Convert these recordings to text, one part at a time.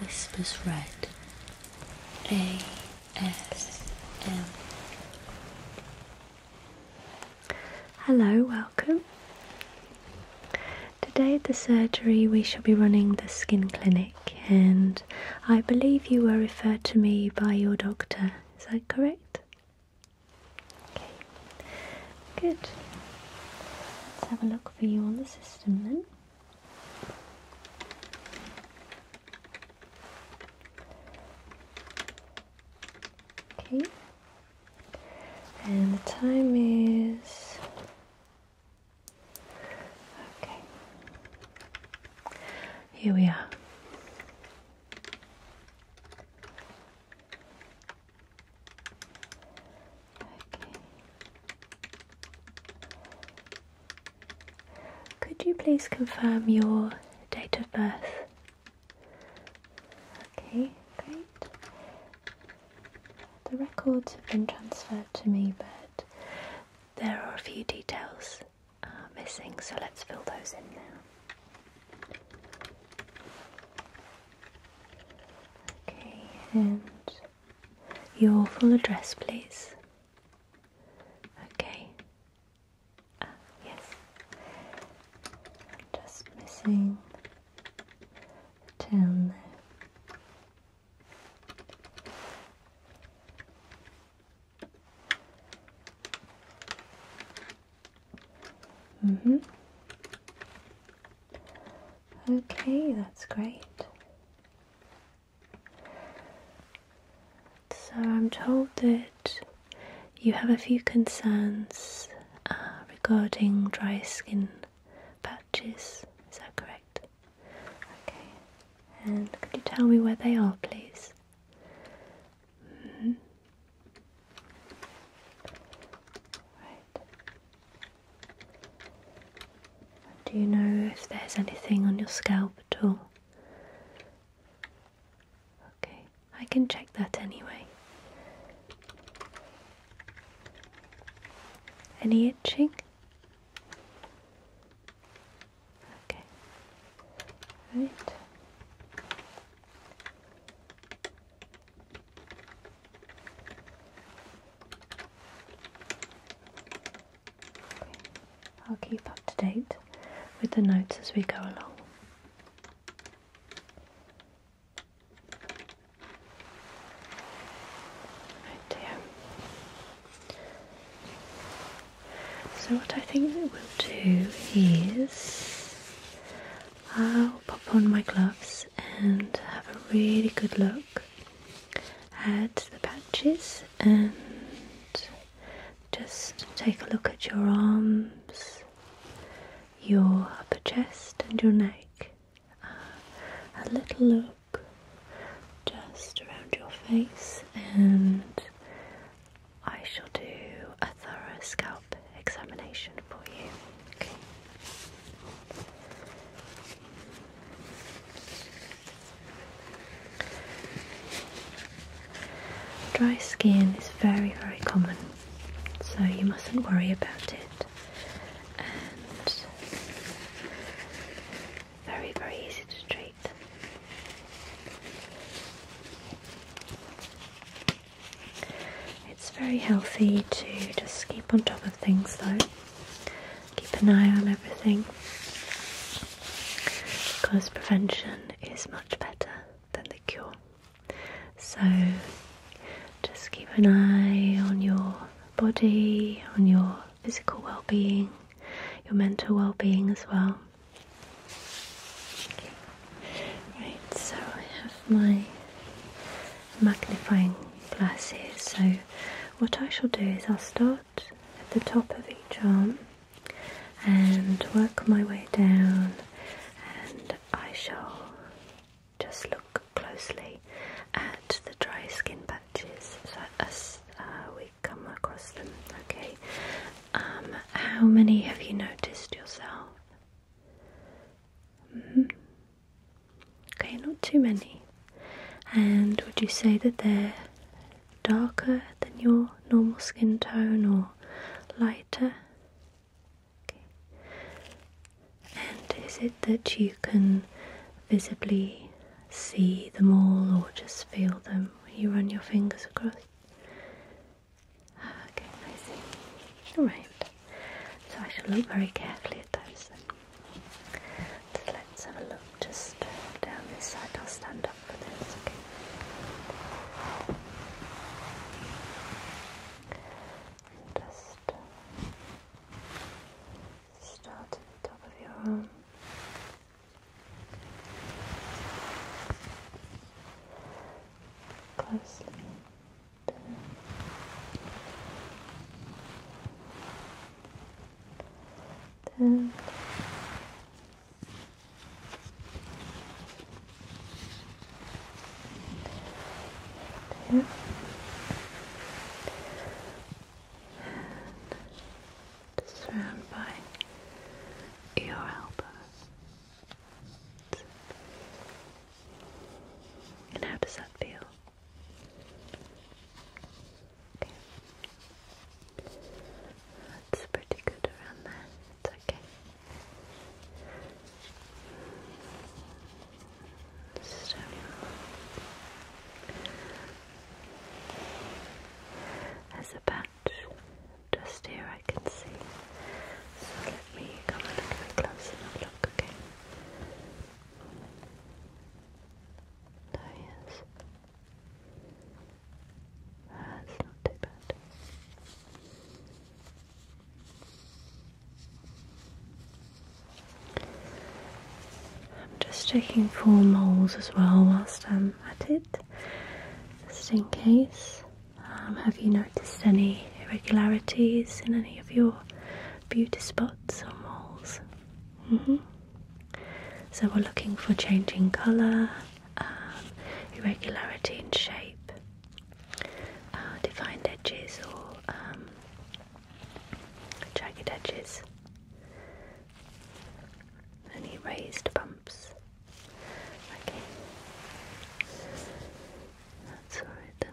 Whispers Red ASM. Hello, welcome. Today at the surgery, we shall be running the skin clinic, and I believe you were referred to me by your doctor. Is that correct? Okay, good. Let's have a look for you on the system then. Okay. And the time is okay. Here we are. Okay. Could you please confirm your date of birth? Okay, great. The records have been transferred to me, but there are a few details uh, missing, so let's fill those in now. Okay, and your full address, please. Okay. Ah, yes. just missing the town there. Mm-hmm. Okay, that's great. So I'm told that you have a few concerns uh, regarding dry skin patches. Is that correct? Okay. And could you tell me where they are, please? Mm-hmm. Do you know if there's anything on your scalp at all? Okay, I can check that anyway. Any itching? Okay. Right. I'll keep up to date with the notes as we go along. Right dear. So what I think we'll do is I'll pop on my gloves and have a really good look add the patches and just take a look at your arms, your upper chest, and your neck. Uh, a little look just around your face, and I shall do a thorough scalp examination for you. Okay. Dry skin is very, very common, so you mustn't worry about it. And very, very easy to treat. It's very healthy to just keep on top of things though keep an eye on everything because prevention is much better than the cure. So just keep an eye on your body, on your physical well being, your mental well being as well. Okay. Right, so I have my magnifying glasses. So what I shall do is I'll start at the top of each arm and work my way down and I shall just look closely at the dry skin patches as uh, we come across them. Okay. Um, how many have you noticed yourself? Mm-hmm. Okay, not too many. And would you say that they're darker than your normal skin tone or lighter? And is it that you can visibly see them all or just feel them when you run your fingers across? Ah, okay, I see. Alright, so I shall look very carefully so let's have a look just down this side. I'll stand up for this, okay? just uh, start at the top of your arm. Closely. And just round by your elbow. And how does that feel? Okay. That's pretty good around there. It's okay. So there's a patch just here I can see. So let me come a little bit closer and look, okay? There oh, he That's not too bad. I'm just checking for moles as well whilst I'm at it, just in case. Um, have you noticed any irregularities in any of your beauty spots or moles? Mm-hmm. So we're looking for changing colour, um, irregularity in shape, uh, defined edges or um, jagged edges, any raised bumps. Okay, that's alright then.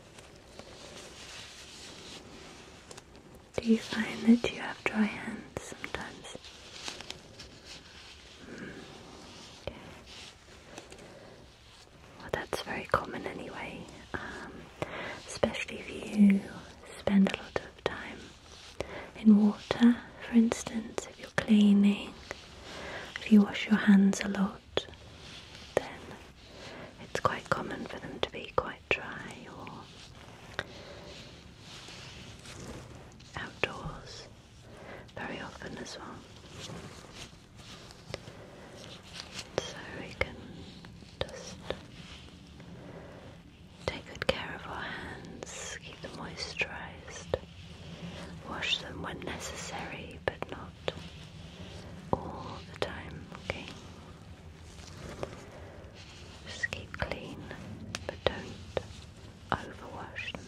Do you find that you have dry hands sometimes? Hmm. Well, that's very common anyway, um, especially if you spend a lot of time in water, for instance, if you're cleaning, if you wash your hands a lot then it's quite common for them to be quite dry or outdoors very often as well. So we can just take good care of our hands, keep them moisturised, wash them when necessary, but not all the time, okay? Just keep clean, but don't overwash them.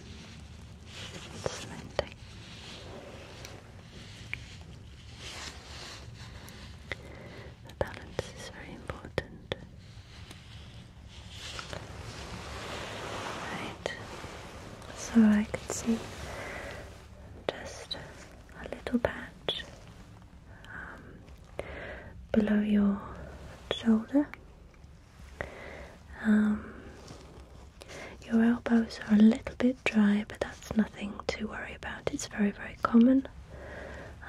The balance is very important. Right, so I can see just a little patch um, below your shoulder. Um, your elbows are a little bit dry, but that's nothing to worry about. It's very, very common.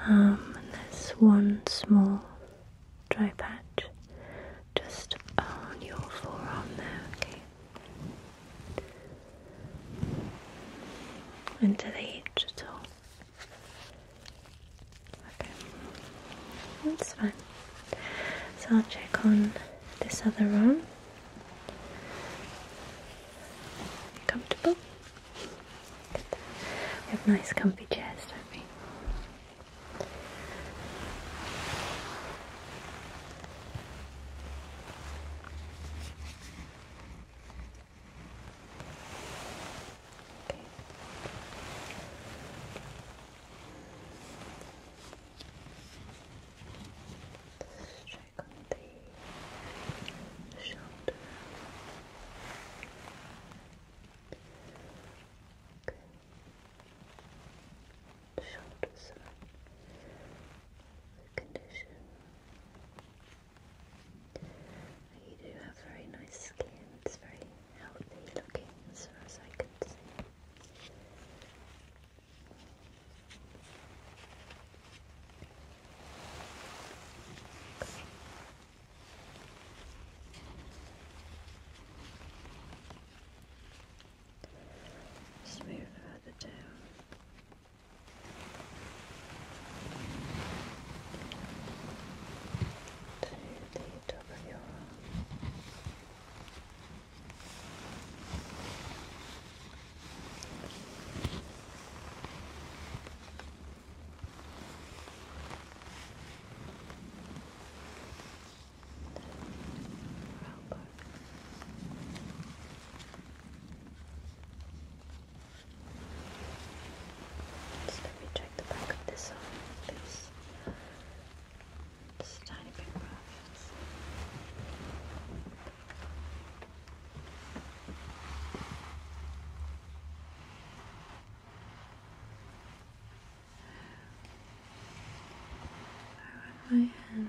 Um, and there's one small dry patch just on your forearm there, okay? Into the edge Okay, that's fine. So I'll check on this other room. Comfortable? We have nice comfy chairs, don't we? Okay. Let's check on the shoulder. Good shoulders are the condition. You do have very nice skin, it's very healthy looking as far as I can see let further down. To the top of your arm. Elbow. Just let me check the back of this arm, please. Just a tiny bit rough. I run my hand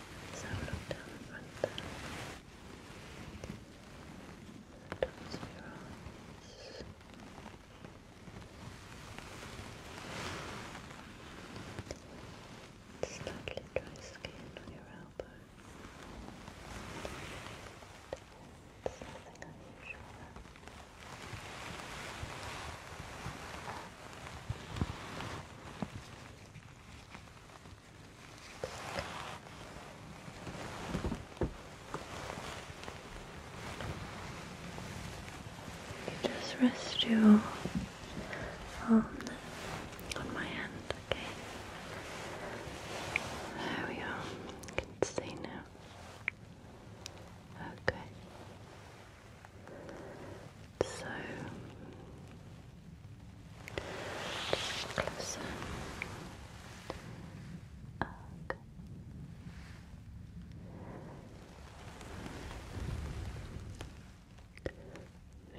So look down the front there. your eyes. Slightly dry skin on your elbow. nothing unusual just rest your on my hand, okay? There we are. You can see now. Okay. So just closer. Okay.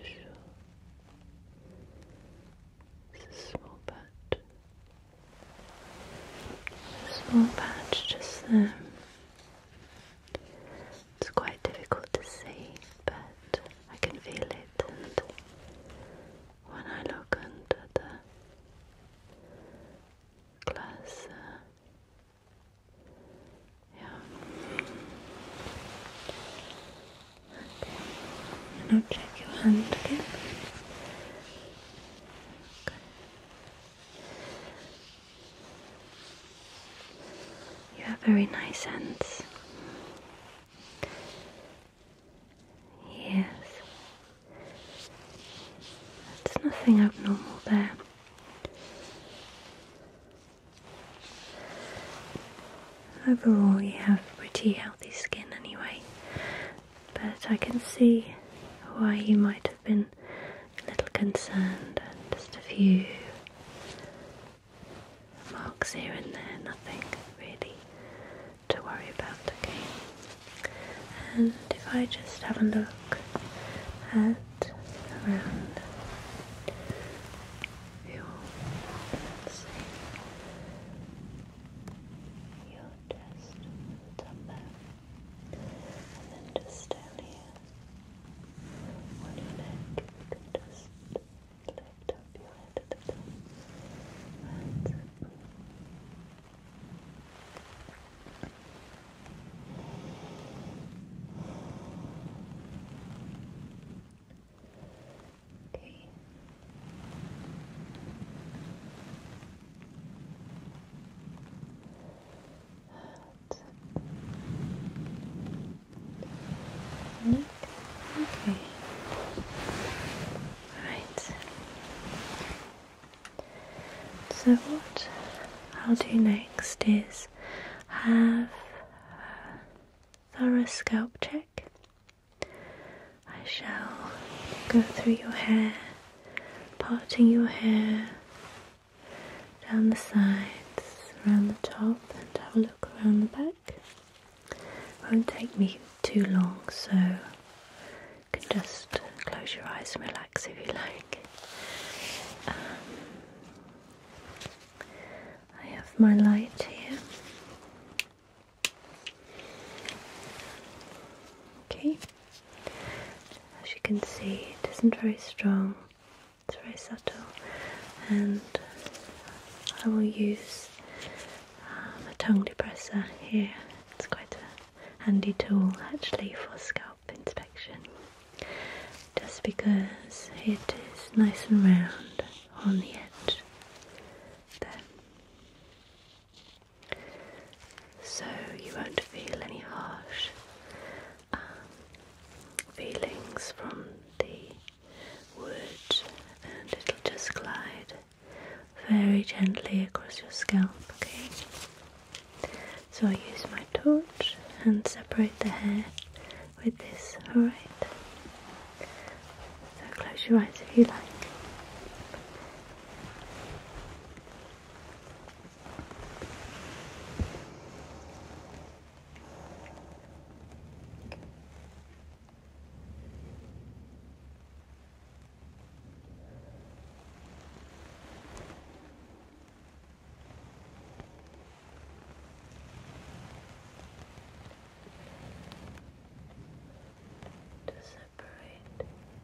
Sure. It's a small patch. Small patch just there. It's quite difficult to see, but I can feel it. And when I look under the glass, uh, yeah. and I'll check your hand again. You have very nice hands. Yes. There's nothing abnormal there. Overall, you have pretty healthy skin anyway, but I can see why you might have been a little concerned just a few Marks here and there, nothing really to worry about, okay? And if I just have a look at around your, let your chest, the top there, and then just down here on your neck, you can just Lift up your head to the Okay. Okay. Right. So what I'll do next is have a thorough scalp check. I shall go through your hair, parting your hair down the sides, around the top, and have a look around the back won't take me too long, so you can just close your eyes and relax if you like. Um, I have my light here. Okay, as you can see, it isn't very strong, it's very subtle, and I will use um, a tongue depressor here. It's quite a handy tool actually for scalp inspection just because it is nice and round on the edge. There. So you won't feel any harsh um, feelings from the wood and it'll just glide very gently across your scalp, okay? So I use my torch and separate the hair with this, alright? So close your eyes if you like to separate the head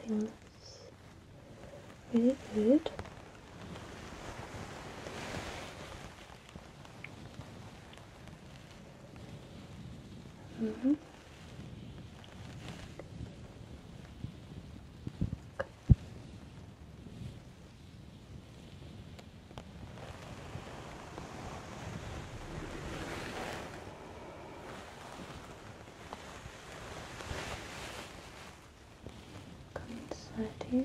I think really good. Mm -hmm. Come inside here.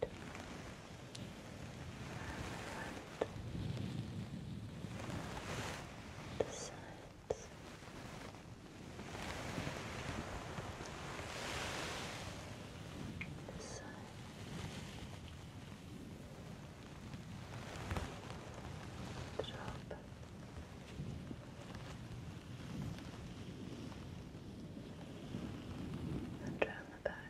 the sides. This side. Drop. And round the back.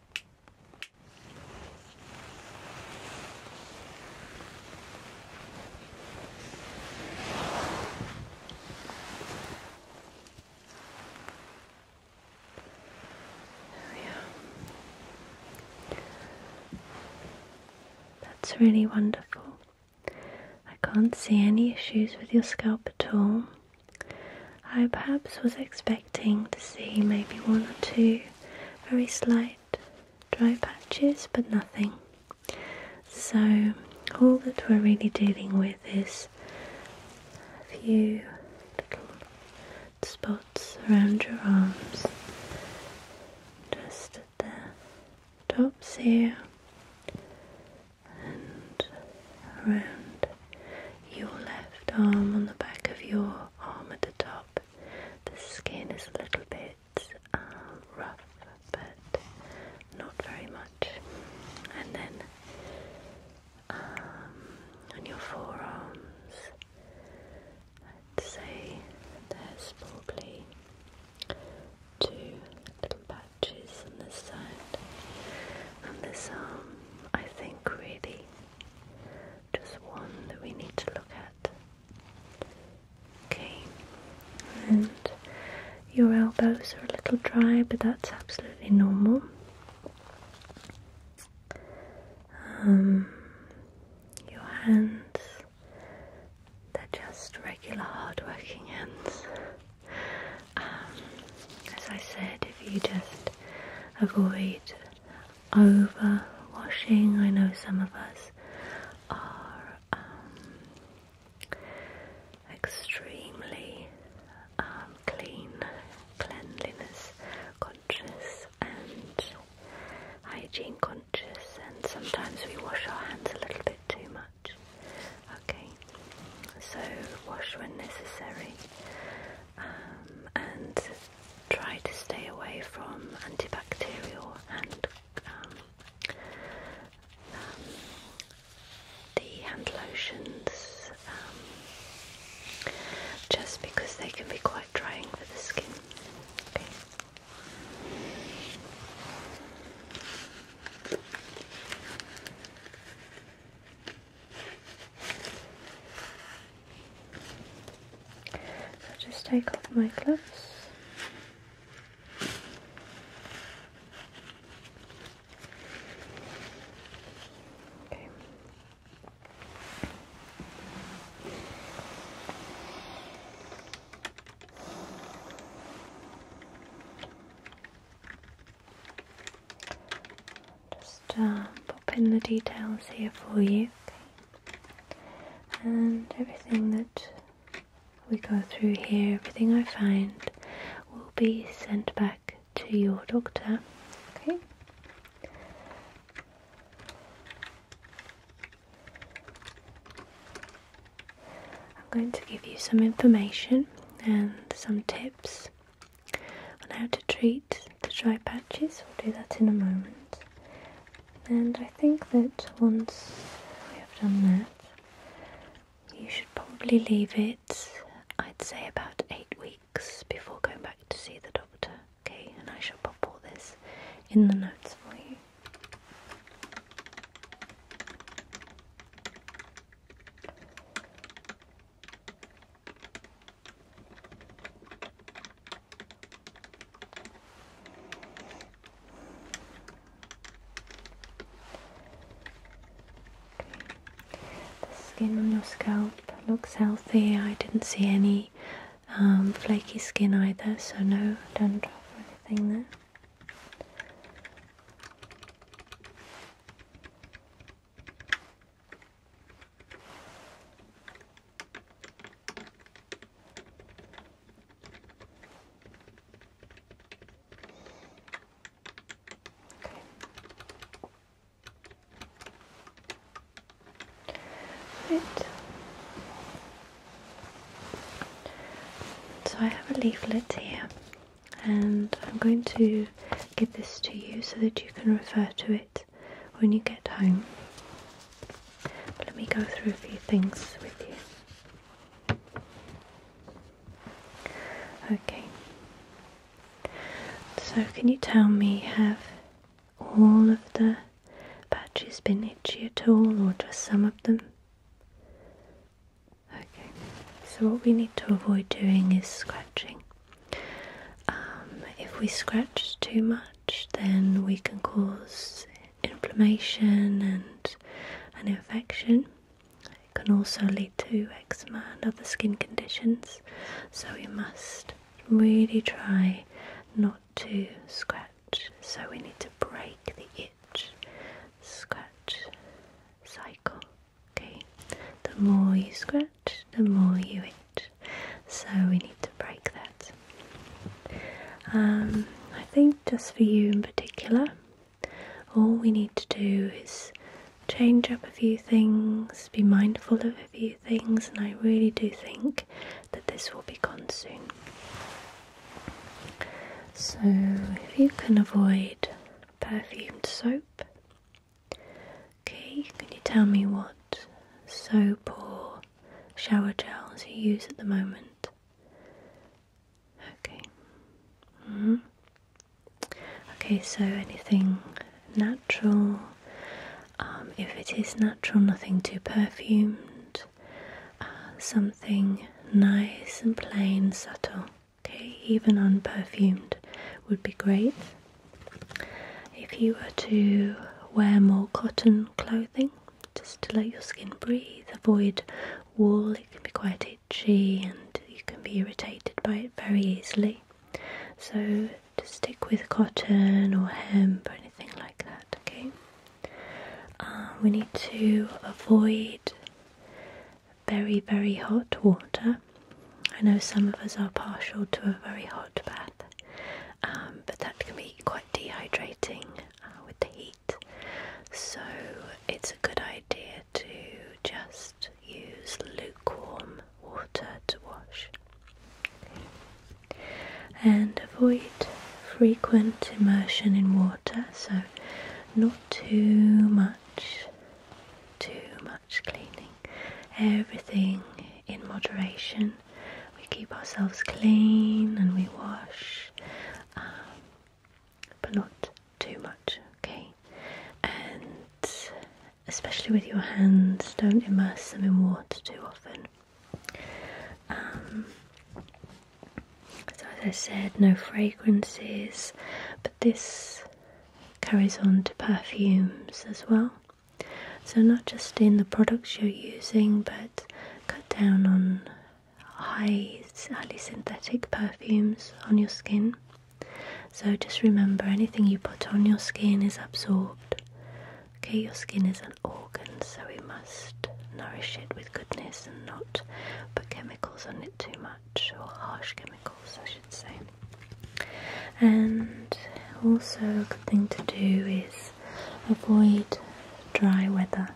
Oh, yeah. That's really wonderful. I can't see any issues with your scalp at all. I perhaps was expecting to see maybe one or two very slight dry patches, but nothing. So, all that we're really dealing with is a few little spots around your arms, just at the tops here and around your left arm on the back of your arm at the top. The skin is a little bit uh, rough, but not very much. And then um, on your forearms, I'd say there's probably two little patches on the side. And this arm, I think, really just one that we need to look at. Okay, and your elbows are a little dry, but that's absolutely normal. Um, your hands, they're just regular hard hands. Um, as I said, if you just avoid overwashing. I know some of us are um, extremely um, clean, cleanliness conscious, and hygiene conscious, and sometimes we wash our hands a little bit too much. Okay, so wash when necessary. Um, and try to stay away from antibacterial and um, um, the hand lotions just because they can be quite drying for the skin. I'll just take off my gloves. Okay. Just uh, pop in the details here for you, And everything that we go through here, everything I find, will be sent back to your doctor, okay? I'm going to give you some information and some tips on how to treat the dry patches, we'll do that in a moment. And I think that once we have done that, you should probably leave it, I'd say, about eight weeks before going back to see the doctor. Okay, and I shall pop all this in the notes for you. The skin on your scalp looks healthy. I didn't see any um, flaky skin either, so no don't or anything there. Right. So I have a leaflet here, and I'm going to give this to you so that you can refer to it when you get home. let me go through a few things with you. Okay. So, can you tell me, have all of the patches been itchy at all, or just some of them? Okay, so what we need to avoid doing is scratching. Um, if we scratch too much, then we can cause inflammation and an infection. It can also lead to eczema and other skin conditions, so we must really try not to scratch. So we need to break the itch scratch cycle. Okay, the more you scratch, the more you eat. So we need to break that. Um, I think just for you in particular, all we need to do is change up a few things, be mindful of a few things, and I really do think that this will be gone soon. So, if you can avoid perfumed soap, Okay, can you tell me what soap or shower gels you use at the moment? Okay. -hmm. Okay, so anything natural? Um, if it is natural, nothing too perfumed, uh, something nice and plain, subtle. Okay, even unperfumed would be great. If you were to wear more cotton clothing, just to let your skin breathe, avoid wool, it can be quite itchy and you can be irritated by it very easily. So to stick with cotton or hemp or anything like that, okay? Uh, we need to avoid very, very hot water I know some of us are partial to a very hot bath, um, but that can be quite dehydrating uh, with the heat. So it's a good idea to just use lukewarm water to wash. And avoid frequent immersion in water, so not too much, too much much cleaning. Everything in moderation. We keep ourselves clean and we wash, um, but not too much, okay? And especially with your hands, don't immerse them in water too often. Um, so, as I said, no fragrances, but this carries on to perfumes as well. So not just in the products you're using, but cut down on highly synthetic perfumes on your skin. So just remember, anything you put on your skin is absorbed. Okay, your skin is an organ, so we must nourish it with goodness and not put chemicals on it too much, or harsh chemicals, I should say and also a good thing to do is avoid dry weather.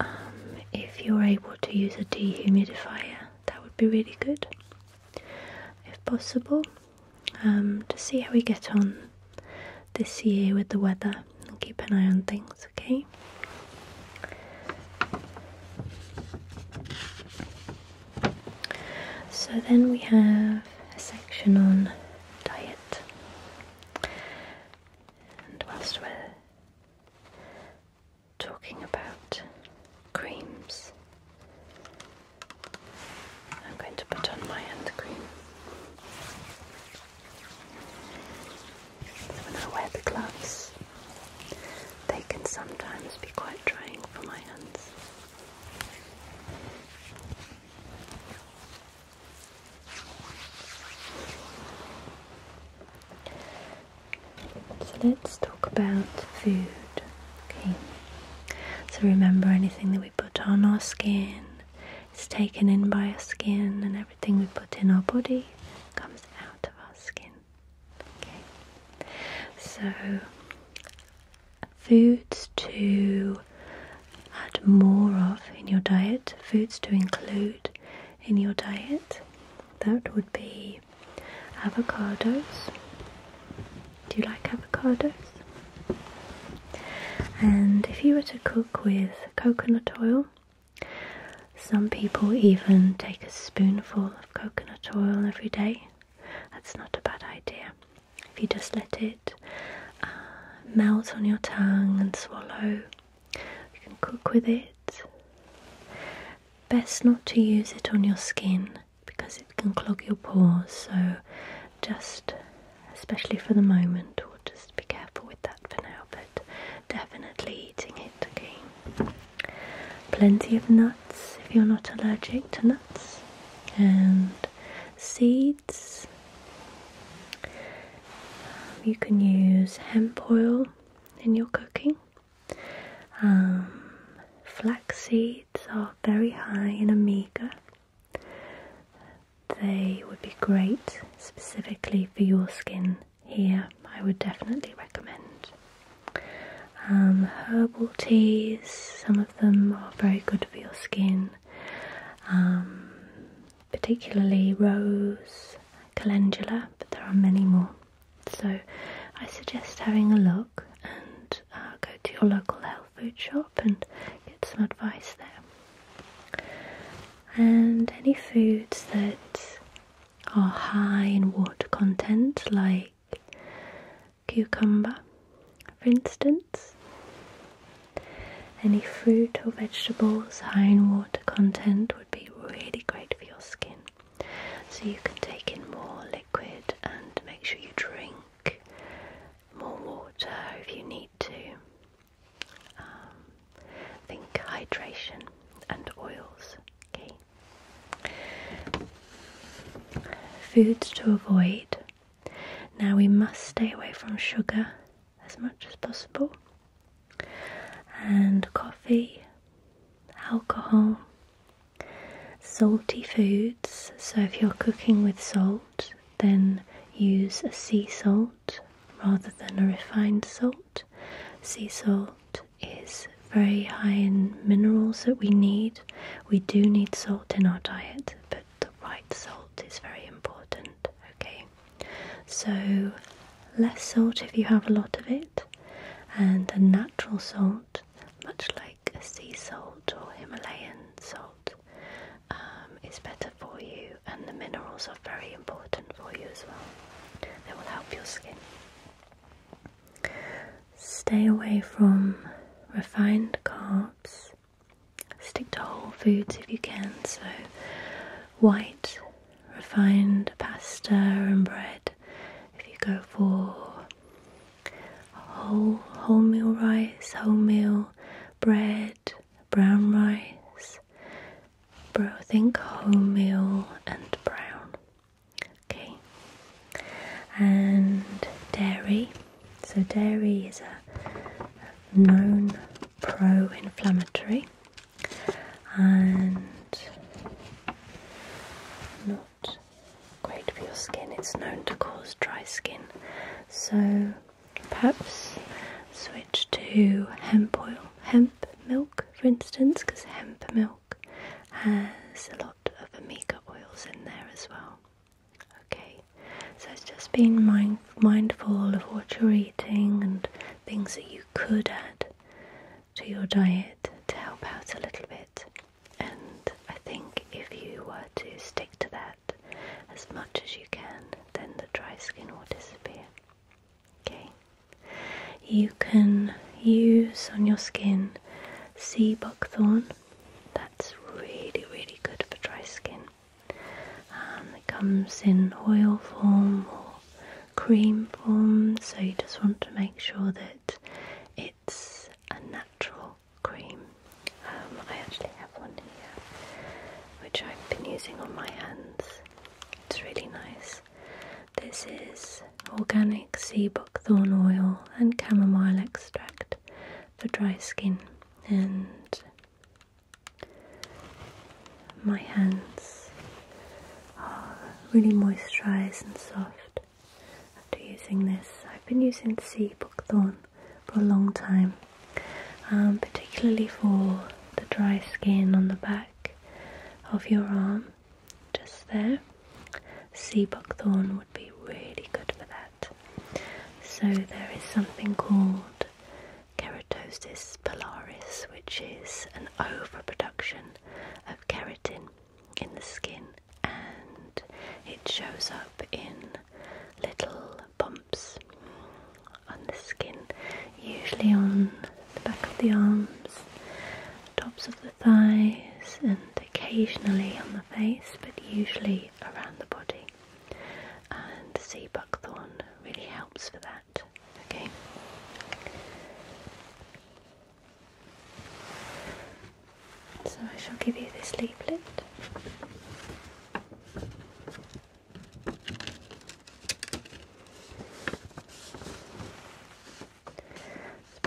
Um, if you're able to use a dehumidifier, that would be really good if possible. Um, to see how we get on this year with the weather and keep an eye on things, okay? So then we have a section on diet, and whilst we're talking about creams, I'm going to put on my hand cream. So when I wear the gloves, they can sometimes be quite drying for my hands. So let's talk about food. Okay. So remember anything that we put on our skin is taken in by our skin and everything we put in our body comes out of our skin. Okay. So foods to add more of in your diet, foods to include in your diet. That would be avocados. Do you like avocados? And if you were to cook with coconut oil, some people even take a spoonful of coconut oil every day. That's not a bad idea. If you just let it uh, melt on your tongue and swallow, you can cook with it. Best not to use it on your skin because it can clog your pores, so just especially for the moment, we'll just be careful with that for now, but definitely eating it Okay, Plenty of nuts if you're not allergic to nuts, and seeds. Um, you can use hemp oil in your cooking. Um, flax seeds are very high in omega. They would be great specifically for your skin here. I would definitely recommend. Um, herbal teas, some them are very good for your skin, um, particularly rose, calendula, but there are many more. So I suggest having a look and uh, go to your local health food shop and get some advice there. And any foods that are high in water content, like cucumber, for instance. Any fruit or vegetables high in water content would be really great for your skin. So you can take in more liquid and make sure you drink more water if you need to. Um, think hydration and oils. Okay. Foods to avoid now we must stay away from sugar as much as possible and coffee, alcohol, salty foods. So if you're cooking with salt, then use sea salt rather than a refined salt. Sea salt is very high in minerals that we need. We do need salt in our diet, but the right salt is very important. Okay, so less salt if you have a lot of it, and a natural salt, much like a sea salt or Himalayan salt, um, is better for you. And the minerals are very important for you as well, they will help your skin. Stay away from refined carbs Stick to whole foods if you can, so white, refined pasta and bread. If you go for whole wholemeal rice, wholemeal bread, brown rice, bro, think wholemeal and brown. Okay, and dairy. So, dairy is a known pro inflammatory and not great for your skin. It's known to cause dry skin. So, perhaps switch to hemp oil, hemp milk, for instance, because hemp milk has a lot of omega oils in there as well. Okay, so it's just being mindful of what you're eating and things that you could add to your diet to help out a little bit. And I think if you were to stick to that as much as you can, then the dry skin will disappear. Okay, you can use on your skin sea buckthorn that's really, really good for dry skin. Um, it comes in oil form or cream form, so you just want to make sure that it's a natural cream. Um, I actually have one here, which I've been using on my hands. It's really nice. This is organic sea buckthorn oil and chamomile extract for dry skin and my hands are really moisturized and soft after using this. I've been using sea buckthorn for a long time, um, particularly for the dry skin on the back of your arm, just there. Sea buckthorn be really good for that. So there is something called keratosis pilaris, which is an overproduction of keratin in the skin, and it shows up in little bumps on the skin, usually on the back of the arms, tops of the thighs, and occasionally on the face, but usually around the body and sea buckthorn really helps for that. Okay. So I shall give you this leaflet.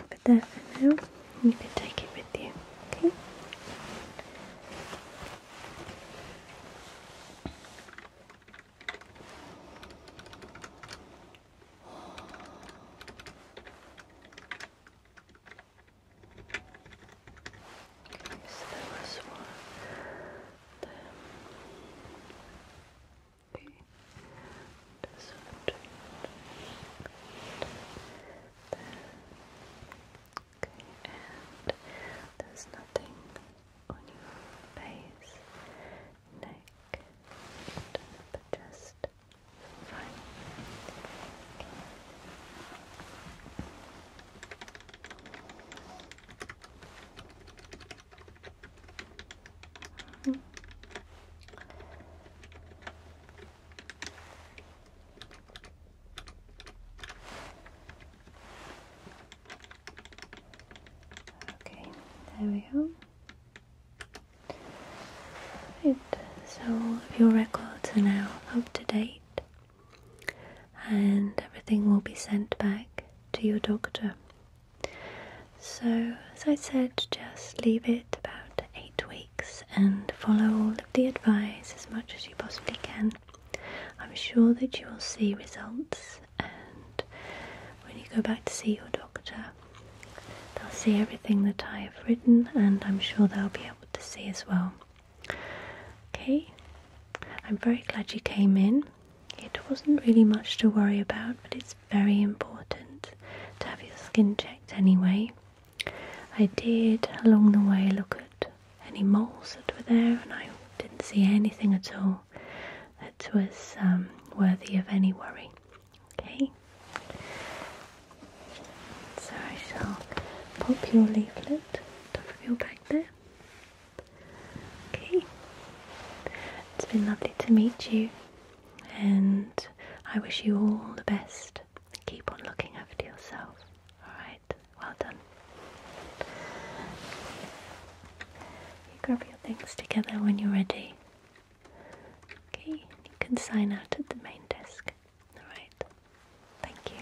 Let's for now. You can take it with you. Okay. Okay, so that was one. Then okay. this one. Then Okay, and there's nothing on your face, neck, but just fine. Okay, there we go. Right, so your records are now up to date and everything will be sent back to your doctor. So, as I said, just leave it about eight weeks and follow all of the advice as much as you possibly can. I'm sure that you will see results, and when you go back to see your doctor, they'll see everything that I have written, and I'm sure they'll be able to see as well. Okay, I'm very glad you came in. It wasn't really much to worry about, but it's very important to have your skin checked anyway. I did along the way look at any moles that were there, and I didn't see anything at all that was um, worthy of any worry. Okay, so I shall pop your leaflet on of your bag there. Okay, it's been lovely to meet you, and I wish you all the best. Keep on looking after yourself. All right well done. You grab your things together when you're ready. Okay, you can sign out at the main desk. Alright, thank you.